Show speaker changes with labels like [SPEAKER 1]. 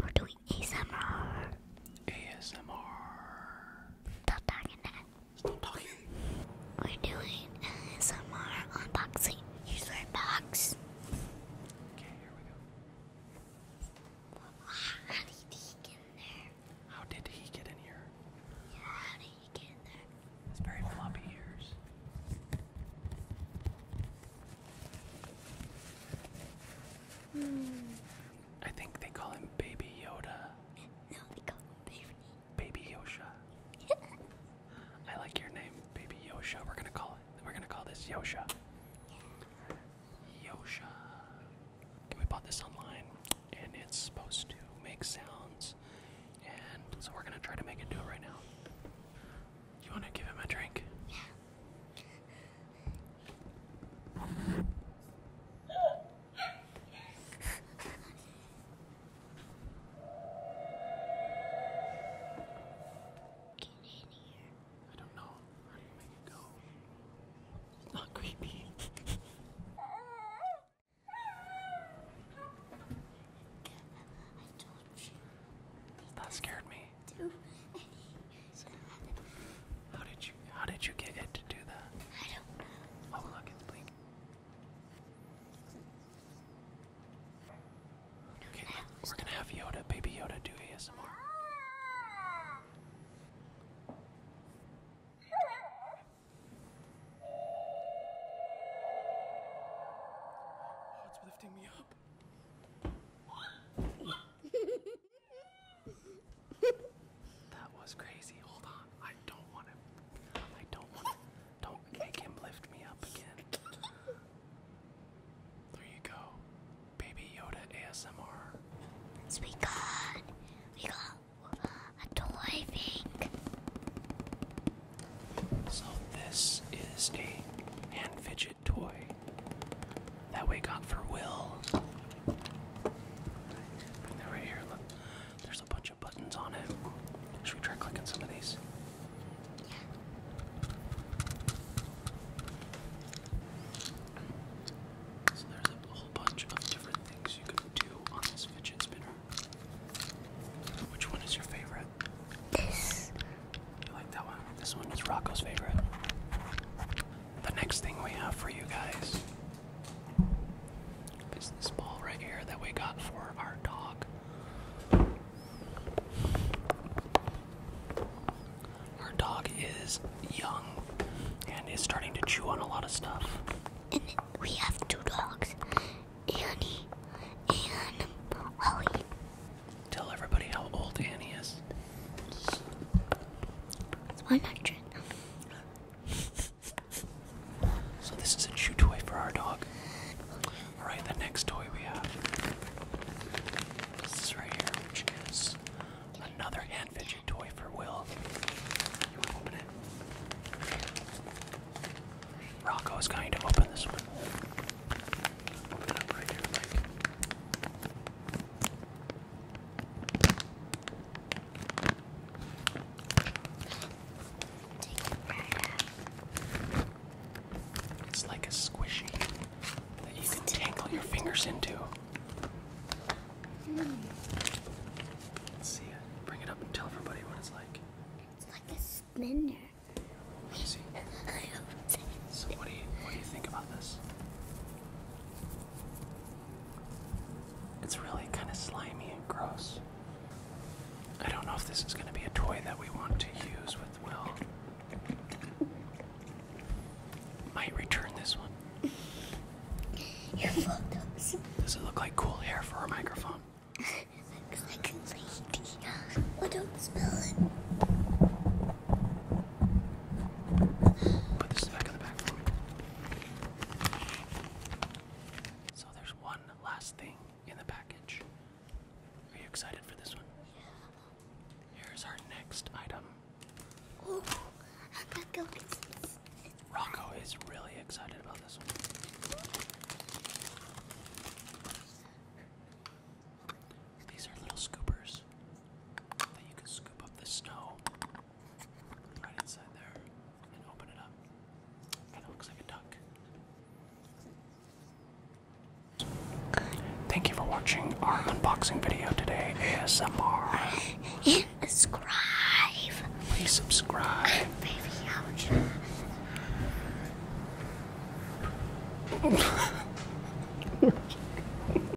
[SPEAKER 1] We're doing ASMR. ASMR. Stop talking that. Stop talking. We're doing ASMR unboxing. Here's Okay, here we go. How did he get in there? How did he get in here? Yeah, how did he get in there? It's very floppy ears. I think they call him Baby Yoda. No, they call him Baby. Baby Yosha. I like your name, Baby Yosha. We're gonna call it. We're gonna call this Yosha. Yosha. we bought this online, and it's supposed to make sounds, and so we're gonna try to make it do it right now. You want to give him a drink? Yeah. Get in here. I don't know. How do you go? It's not creepy. That scared me. How did you how did you get it to do that? Oh look, it's blinking. Okay, we're gonna have Yoda, baby Yoda do ASMR that was crazy. Hold on. I don't want to. I don't want to. Don't make him lift me up again. There you go. Baby Yoda ASMR. It's we got. We a toy thing. So this is a hand fidget toy that we got for Will. right here. Look, there's a bunch of buttons on it. Should we try clicking some of these? So there's a whole bunch of different things you can do on this fidget spinner. Which one is your favorite? This. You like that one? This one is Rocco's favorite. The next thing we have for you guys is this ball right here that we got for our dog. Our dog is young and is starting to chew on a lot of stuff. And we have two dogs, Annie and Holly. Tell everybody how old Annie is. It's 100. So, this is a chew toy for our dog. Alright, the next toy we have this is right here, which is another hand fidget toy for Will. You want to open it? Rocco's going to open this one. It's like a squishy that you can tangle your fingers into. see Bring it up and tell everybody what it's like. It's like a spinner. see. So what do you what do you think about this? It's really kind of slimy and gross. I don't know if this is going to be a toy that we want to use with Will. Might return this one. Your photos. Does it look like cool hair for our microphone? looks like a lady. Oh, don't smell it. Put this back in the back for me. So there's one last thing in the package. Are you excited for this one? Yeah. Here's our next item. Rocco is really excited about this one. These are little scoopers that you can scoop up the snow Thank you for watching our unboxing video today, ASMR. And subscribe. Please subscribe. And baby Yoda.